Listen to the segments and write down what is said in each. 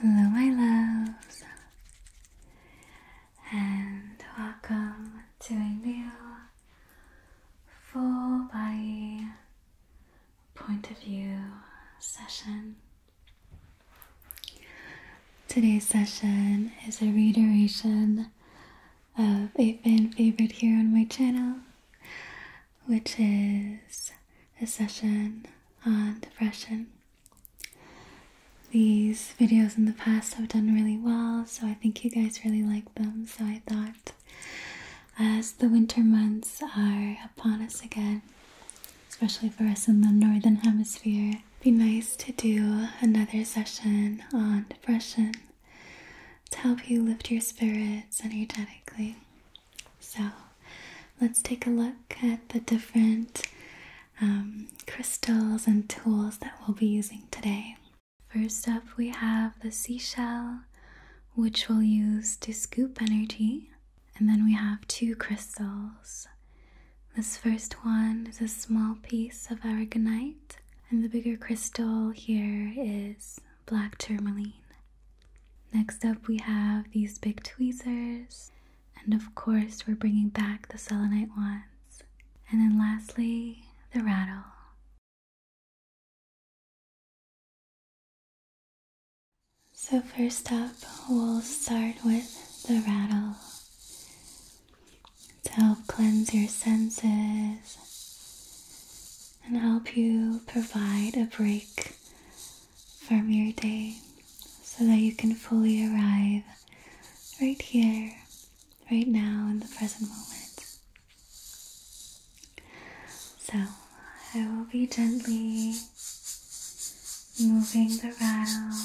Hello, my loves, and welcome to a new full body point of view session. Today's session is a reiteration of a fan favorite here on my channel, which is a session on depression. These videos in the past have done really well, so I think you guys really like them. So I thought, as the winter months are upon us again, especially for us in the northern hemisphere, it'd be nice to do another session on depression to help you lift your spirits energetically. So let's take a look at the different um, crystals and tools that we'll be using today. First up, we have the seashell, which we'll use to scoop energy. And then we have two crystals. This first one is a small piece of aragonite, and the bigger crystal here is black tourmaline. Next up, we have these big tweezers, and of course, we're bringing back the selenite wands. And then lastly, the rattle. So, first up, we'll start with the rattle to help cleanse your senses and help you provide a break from your day so that you can fully arrive right here, right now, in the present moment. So I will be gently moving the rattle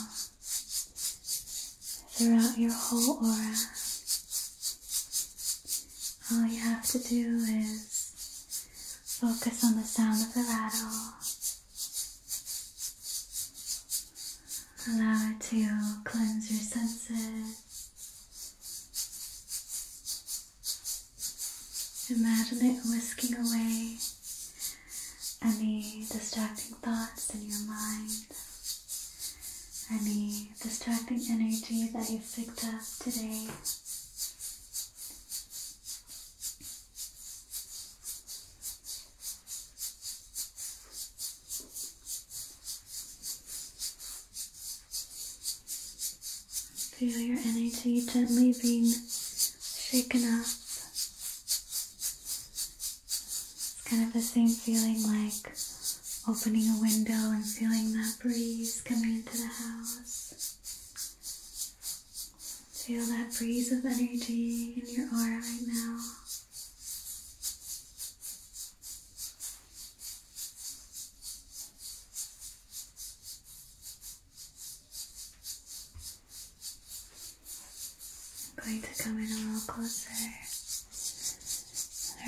throughout your whole aura. All you have to do is Focus on the sound of the rattle. Allow it to cleanse your senses. Imagine it whisking away any distracting thoughts in your mind, any distracting energy that you've picked up today. Feel your energy gently being shaken up. It's kind of the same feeling like opening a window and feeling that breeze coming into the house. Feel that breeze of energy in your aura right now. I'm going to come in a little closer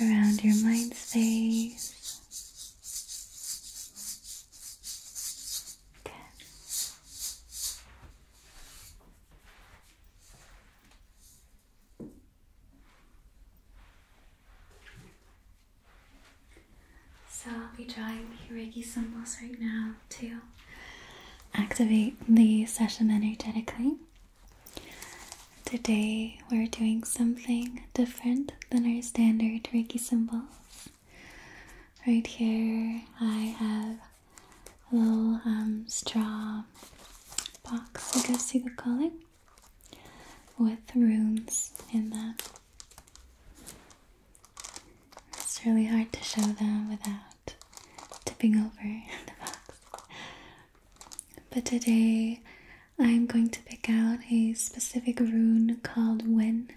around your mind space. So I'll be drawing Reiki symbols right now to activate the session energetically. Today we're doing something different than our standard Reiki symbols. Right here, I have a little um, straw box, I guess see the call it, with runes in them. It's really hard to show them without tipping over the box. But today I'm going to pick out a specific rune called Wen.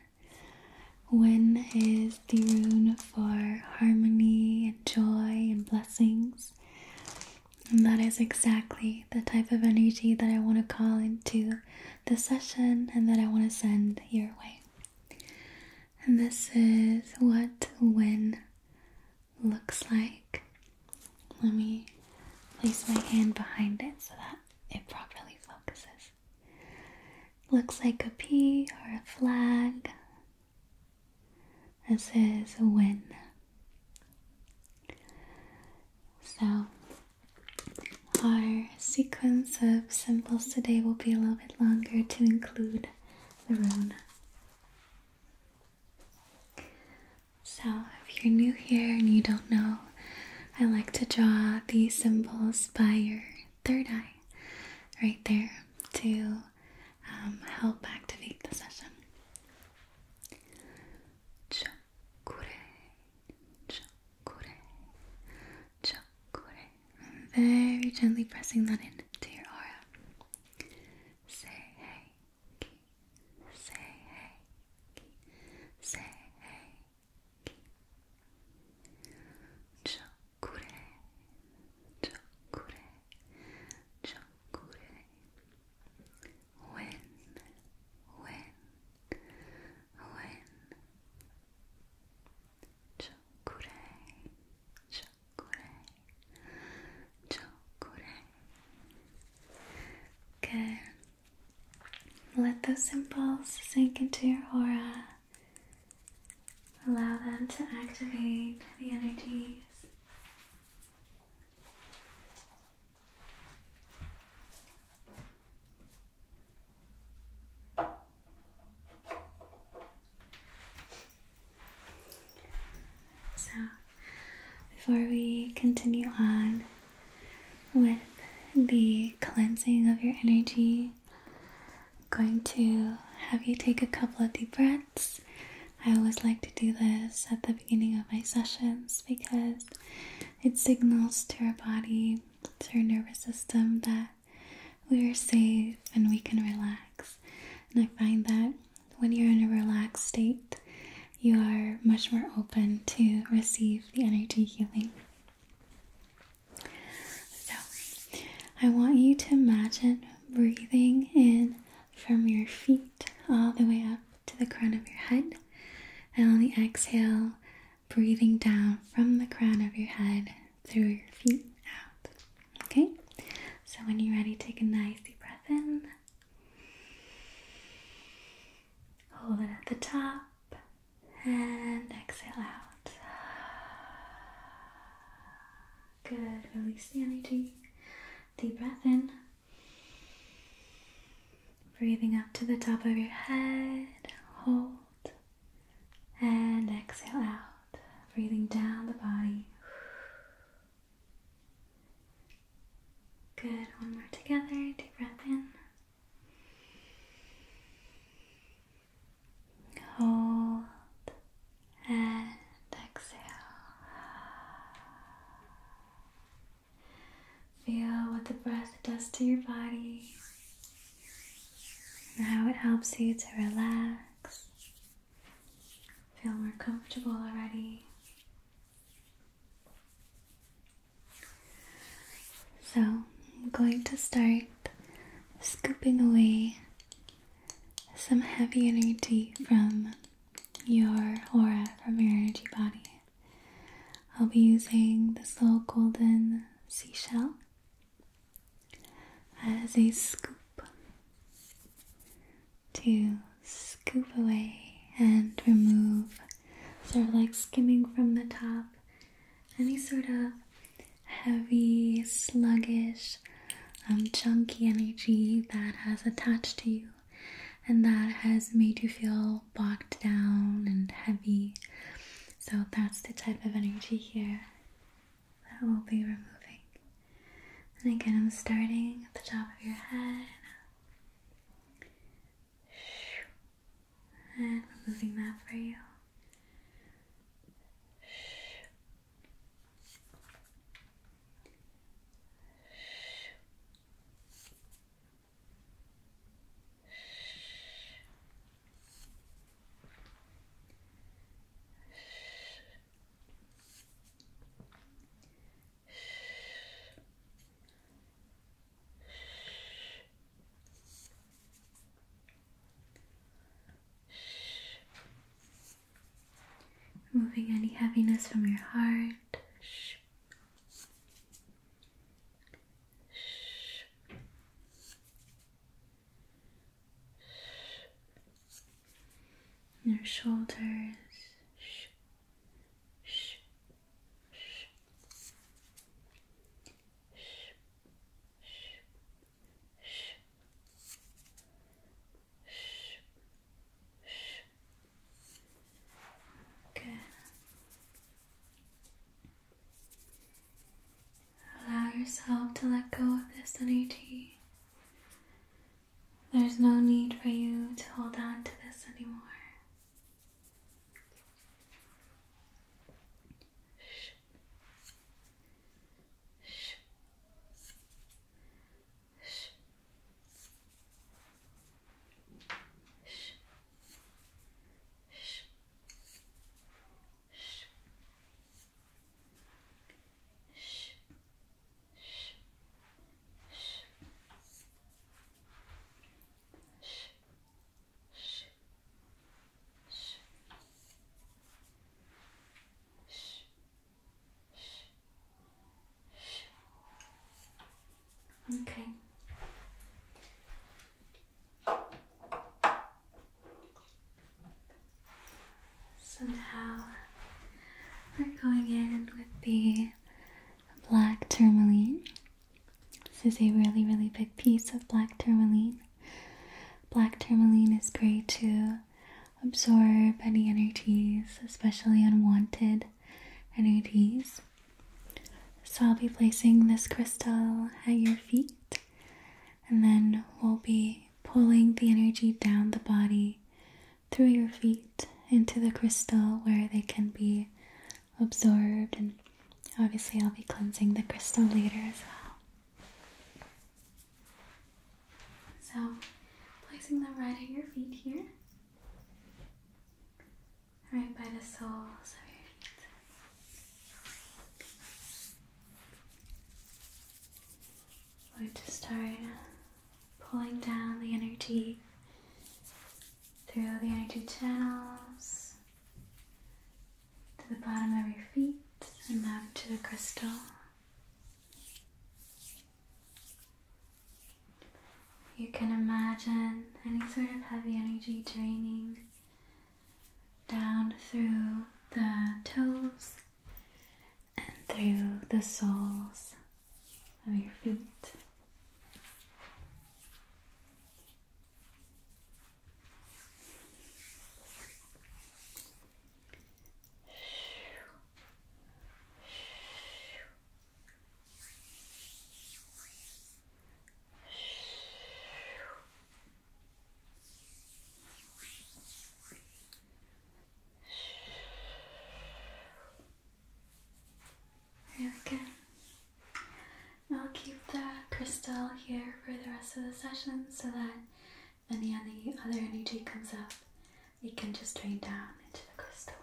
Wen is the rune for harmony and joy and blessings. And that is exactly the type of energy that I want to call into the session and that I want to send your way. And this is what Wen looks like. Let me place my hand behind it so that it properly focuses. Looks like a P or a flag. This is a win. So, our sequence of symbols today will be a little bit longer to include the rune. So, if you're new here and you don't know I like to draw these symbols by your third eye right there to um, help activate the session. Chakure, chakure, chakure. I'm very gently pressing that in to your aura. Say hey, say hey, say hey, Chokure, chokure, chokure. When, when, when. Chokure, chokure, chokure. Good. Let those symbols sink into your aura. Allow them to activate the energies. So, before we continue on, with the cleansing of your energy. I'm going to have you take a couple of deep breaths. I always like to do this at the beginning of my sessions because it signals to our body, to our nervous system, that we are safe and we can relax. And I find that when you're in a relaxed state, you are much more open to receive the energy healing. So, I want you to imagine breathing in from your feet all the way up to the crown of your head, and on the exhale, breathing down from the crown of your head through your feet out. Okay? So, when you're ready, take a nice deep breath in. Hold it at the top and exhale out. Good. Release the energy. Deep breath in. Breathing up to the top of your head. Hold. And exhale out. Breathing down the body. Good, one more together. Deep breath in. Hold and exhale. Feel what the breath does to your body and how it helps you to relax. Feel more comfortable already. So, I'm going to start scooping away some heavy energy from your aura, from your energy body. I'll be using this little golden seashell as a scoop to scoop away and remove, sort of like skimming from the top, any sort of heavy, sluggish, um, chunky energy that has attached to you and that has made you feel bogged down and heavy. So that's the type of energy here that we'll be removing. And again, I'm starting at the top of your head, and removing that for you. Removing any heaviness from your heart. Your shoulders, Shh. Shh. Shh. Shh. Shh. Shh. Shh. Allow yourself to let go of this energy there's no need for you to hold on to this anymore. Shh. Shh. Shh. Shh. Shh. Shh. Okay. So now we're going in with the black tourmaline. This is a really, really big piece of black tourmaline. Black tourmaline is great to absorb any energies, especially unwanted energies. So I'll be placing this crystal at your feet, and then we'll be pulling the energy down the body through your feet into the crystal where they can be absorbed. And obviously, I'll be cleansing the crystal later as well. So, placing them right at your feet here, right by the soles of your feet. we to start pulling down the energy through the energy channels to the bottom of your feet and up to the crystal. You can imagine any sort of heavy energy draining down through the toes and through the soles of your feet. There I'll keep the crystal here for the rest of the session so that any other energy comes up, it can just drain down into the crystal.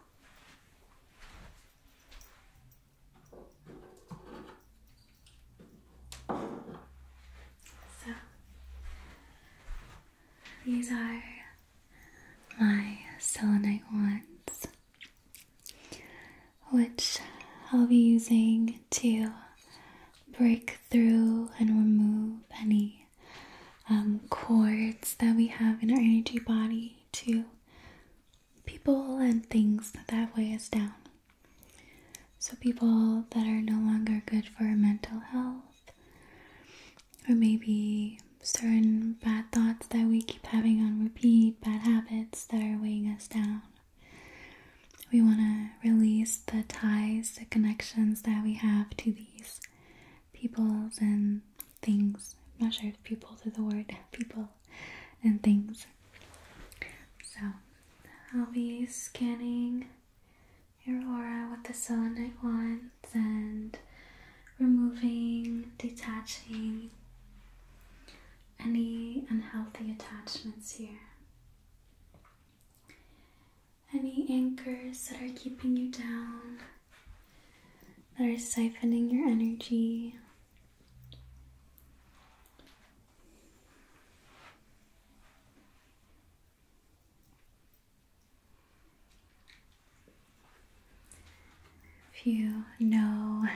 So, these are my selenite wands, which I'll be using to break through and remove any um, cords that we have in our energy body to people and things that weigh us down. So, people that are no longer good for our mental health or maybe certain bad thoughts that we keep having on repeat, bad habits that are weighing us down. We want to release the ties, the connections that we have to these people and things. I'm not sure if people is the word, people and things. So I'll be scanning your aura with the selenite wands and removing, detaching any unhealthy attachments here. Any anchors that are keeping you down, that are siphoning your energy. If you know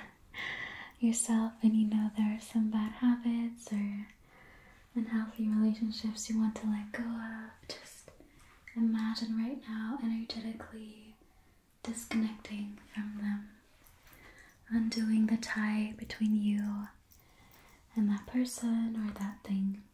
yourself and you know there are some bad habits or unhealthy relationships you want to let go of, just imagine right now energetically disconnecting from them, undoing the tie between you and that person or that thing.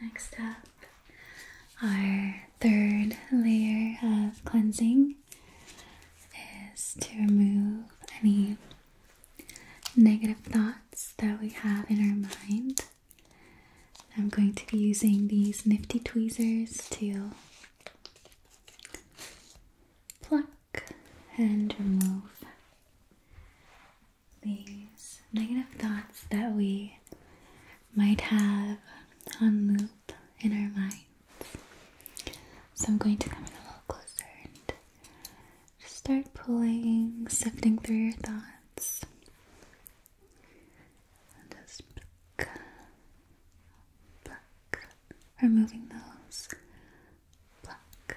Next up, our third layer of cleansing is to remove any negative thoughts that we have in our mind. I'm going to be using these nifty tweezers to pluck and remove these negative thoughts that we might have on loop in our minds. So I'm going to come in a little closer and just start pulling, sifting through your thoughts. And just pluck, pluck, removing those, pluck,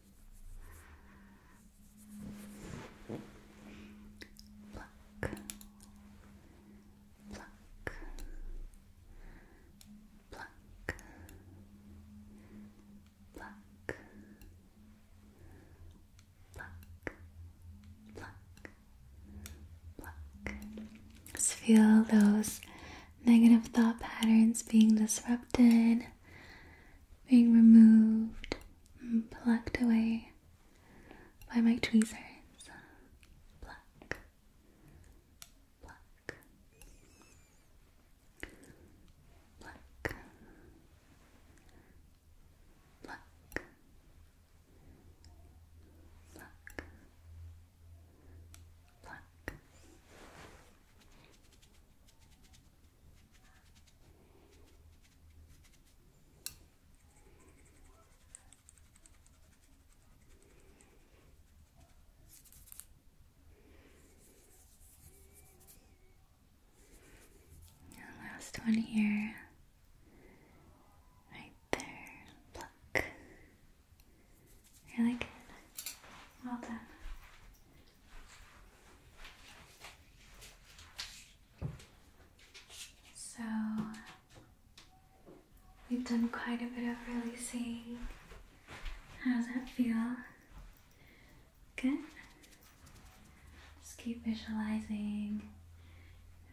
Pluck. Pluck. Just feel those negative thought patterns being disrupted being removed and plucked away by my tweezers. Pluck, pluck, pluck, pluck, pluck, pluck. And last one here, right there, pluck. Really good. Well done. So, we've done quite a bit of releasing. How does that feel? Good. Just keep visualizing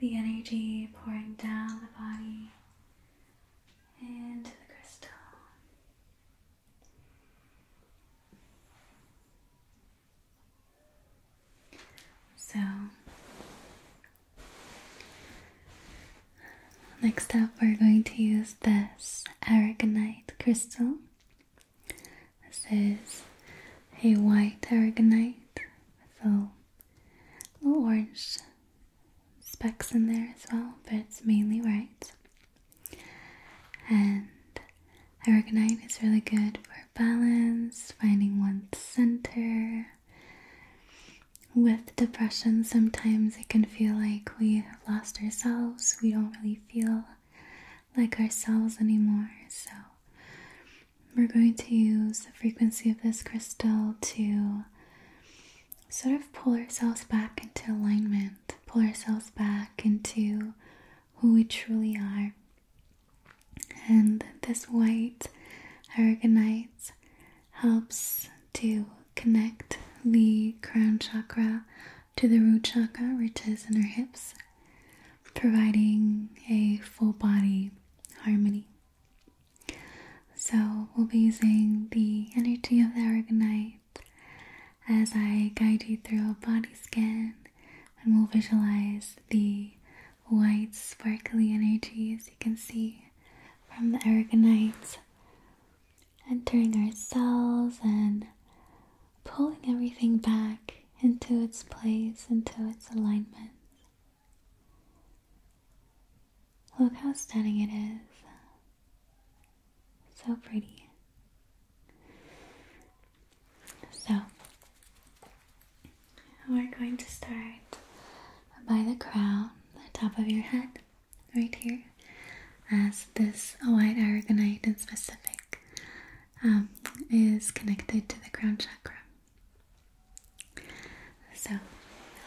the energy pouring down the body into the crystal. So, next up, we're going to use this aragonite crystal. This is a white aragonite with a little orange specks in there as well, but it's mainly white. And I recognize it's really good for balance, finding one's center. With depression, sometimes it can feel like we have lost ourselves. We don't really feel like ourselves anymore. So, we're going to use the frequency of this crystal to sort of pull ourselves back into alignment, pull ourselves back into who we truly are. And this white aragonite helps to connect the crown chakra to the root chakra, which is in our hips, providing a full body harmony. So, we'll be using the energy of the aragonite as I guide you through a body scan and we'll visualize the white, sparkly energy as you can see from the aragonite entering our cells and pulling everything back into its place, into its alignment. Look how stunning it is. So pretty. So, we're going to start by the crown, the top of your head, right here, as this white aragonite and specific um, is connected to the crown chakra. So,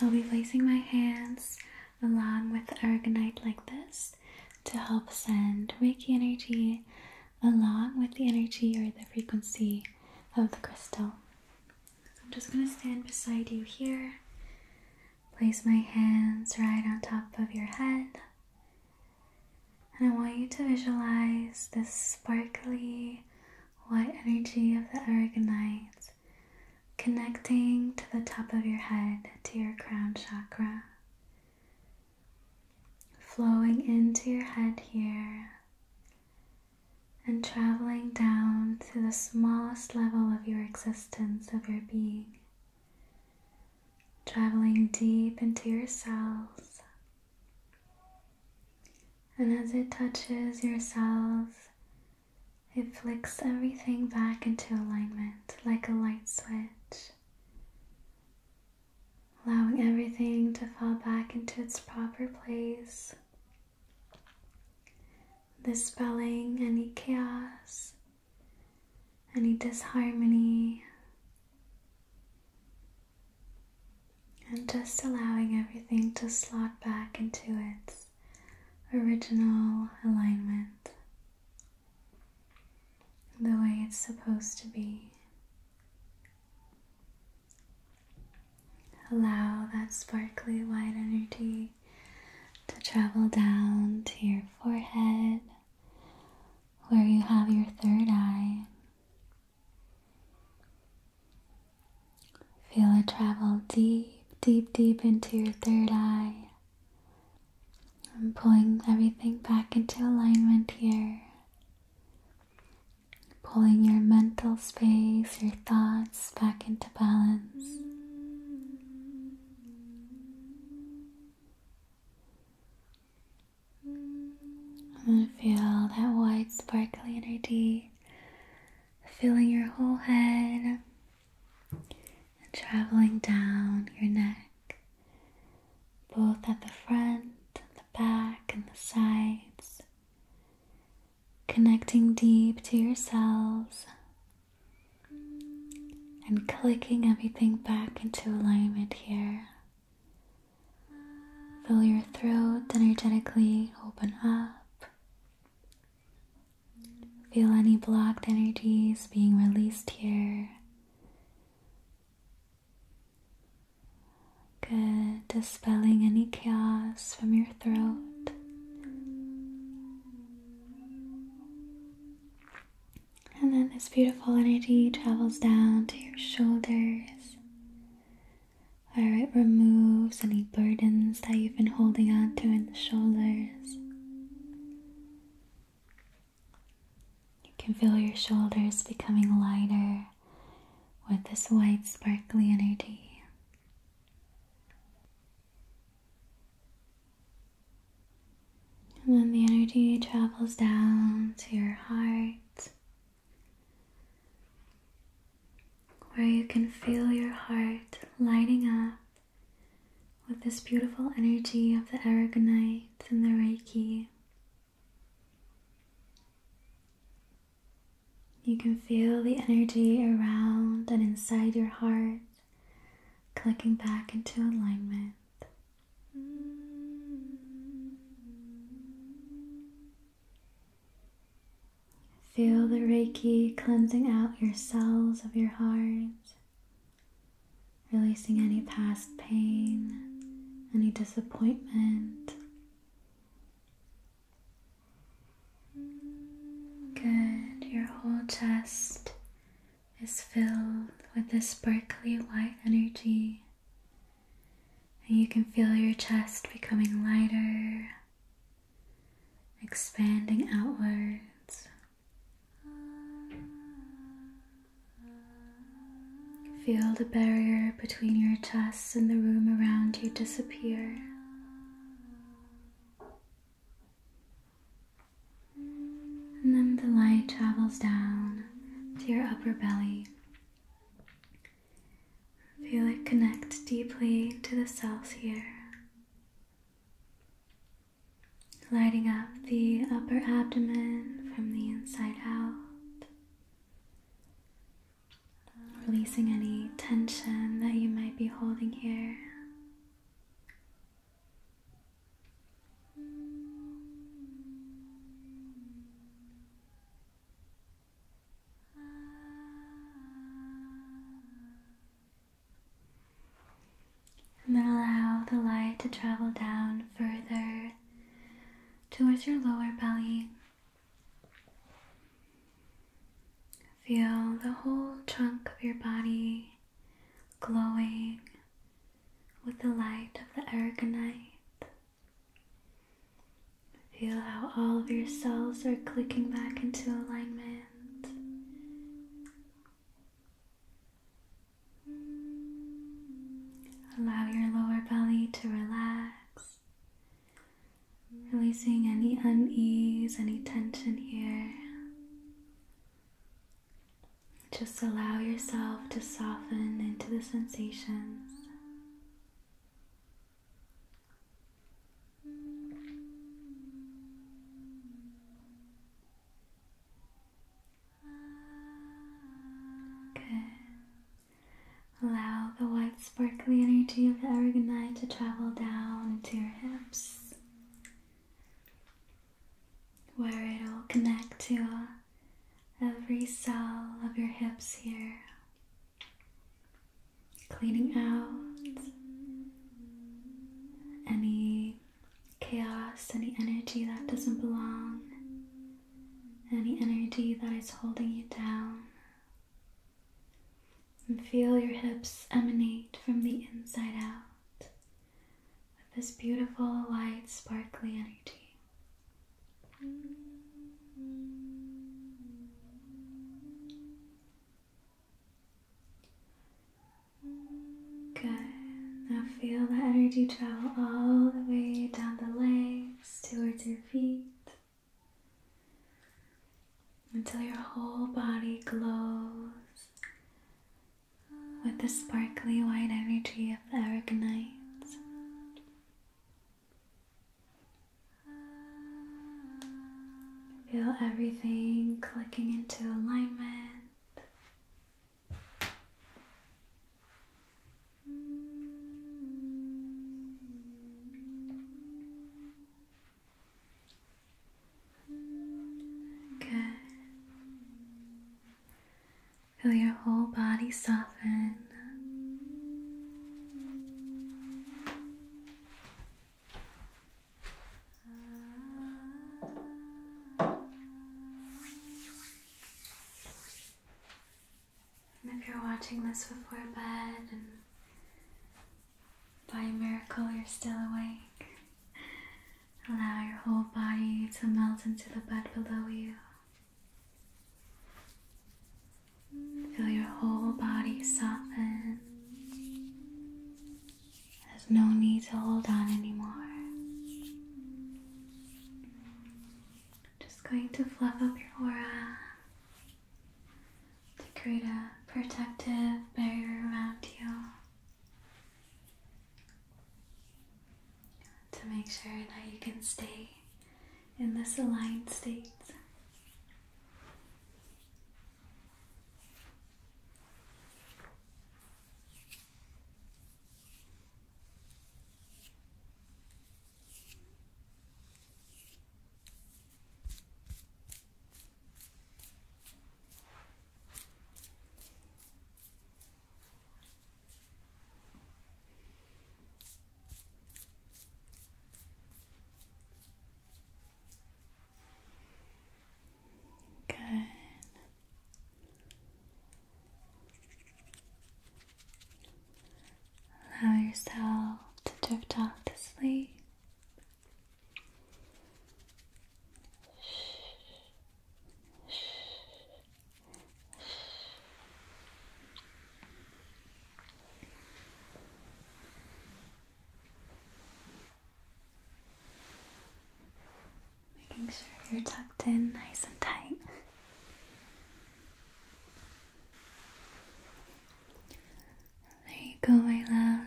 I'll be placing my hands along with the aragonite like this to help send Reiki energy along with the energy or the frequency of the crystal. I'm just going to stand beside you here. Place my hands right on top of your head. And I want you to visualize this sparkly white energy of the argonite connecting to the top of your head to your crown chakra, flowing into your head here, and traveling down to the smallest level of your existence, of your being, traveling deep into your cells. And as it touches your cells, it flicks everything back into alignment like a light switch, allowing everything to fall back into its proper place. Dispelling any chaos, any disharmony, and just allowing everything to slot back into its original alignment the way it's supposed to be. Allow that sparkly white energy to travel down to your forehead where you have your third eye. Feel it travel deep, deep, deep into your third eye. I'm pulling everything back into alignment here. Pulling your mental space, your thoughts back into balance. And feel that white sparkly energy filling your whole head, and traveling down your neck, both at the front and the back and the sides, connecting deep to your cells and clicking everything back into alignment here. Fill your throat energetically, open up. Feel any blocked energies being released here. Good. Dispelling any chaos from your throat. And then this beautiful energy travels down to your shoulders where it removes any burdens that you been holding on to in the shoulders. You can feel your shoulders becoming lighter with this white, sparkly energy. And then the energy travels down to your heart where you can feel your heart lighting up with this beautiful energy of the aragonite and the reiki. You can feel the energy around and inside your heart clicking back into alignment. Feel the Reiki cleansing out your cells of your heart, releasing any past pain, any disappointment. Good, your whole chest is filled with this sparkly white energy. And you can feel your chest becoming lighter expanding outwards. Feel the barrier between your chest and the room around you disappear. And then the light travels down to your upper belly, Feel it connect deeply to the cells here, lighting up the upper abdomen from the inside out, releasing any tension that you might be holding here. And then allow the light to travel down further towards your lower belly. Feel the whole trunk of your body glowing with the light of the aragonite. Feel how all of your cells are clicking back into alignment. Allow your lower belly to relax, releasing any unease, any tension here. Just allow yourself to soften into the sensations. Good. Allow the white sparkly energy of the aragonite to travel down into your hips, where it'll connect to every cell of your hips here cleaning out any chaos, any energy that doesn't belong, any energy that is holding you down. And feel your hips emanate from the inside out with this beautiful, light, sparkly energy. Good. Now feel the energy travel all the way down the legs towards your feet until your whole body glows with the sparkly white energy of the aragonite. Feel everything clicking into alignment. Good. Feel your whole body soften. And if you're watching this before bed and by miracle you're still awake, allow your whole body to melt into the bed below you. Feel your whole body soften. There's no need to hold on anymore. Just going to fluff up your aura to create a protective barrier around you to make sure that you can stay in this aligned state. Good. Allow yourself to drift off to sleep. Making sure you're tucked in nice and tight. There you go, my love.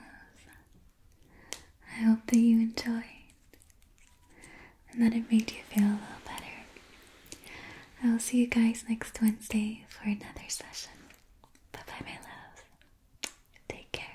I hope that you enjoyed and that it made you feel a little better. I will see you guys next Wednesday for another session. Bye bye, my loves. Take care.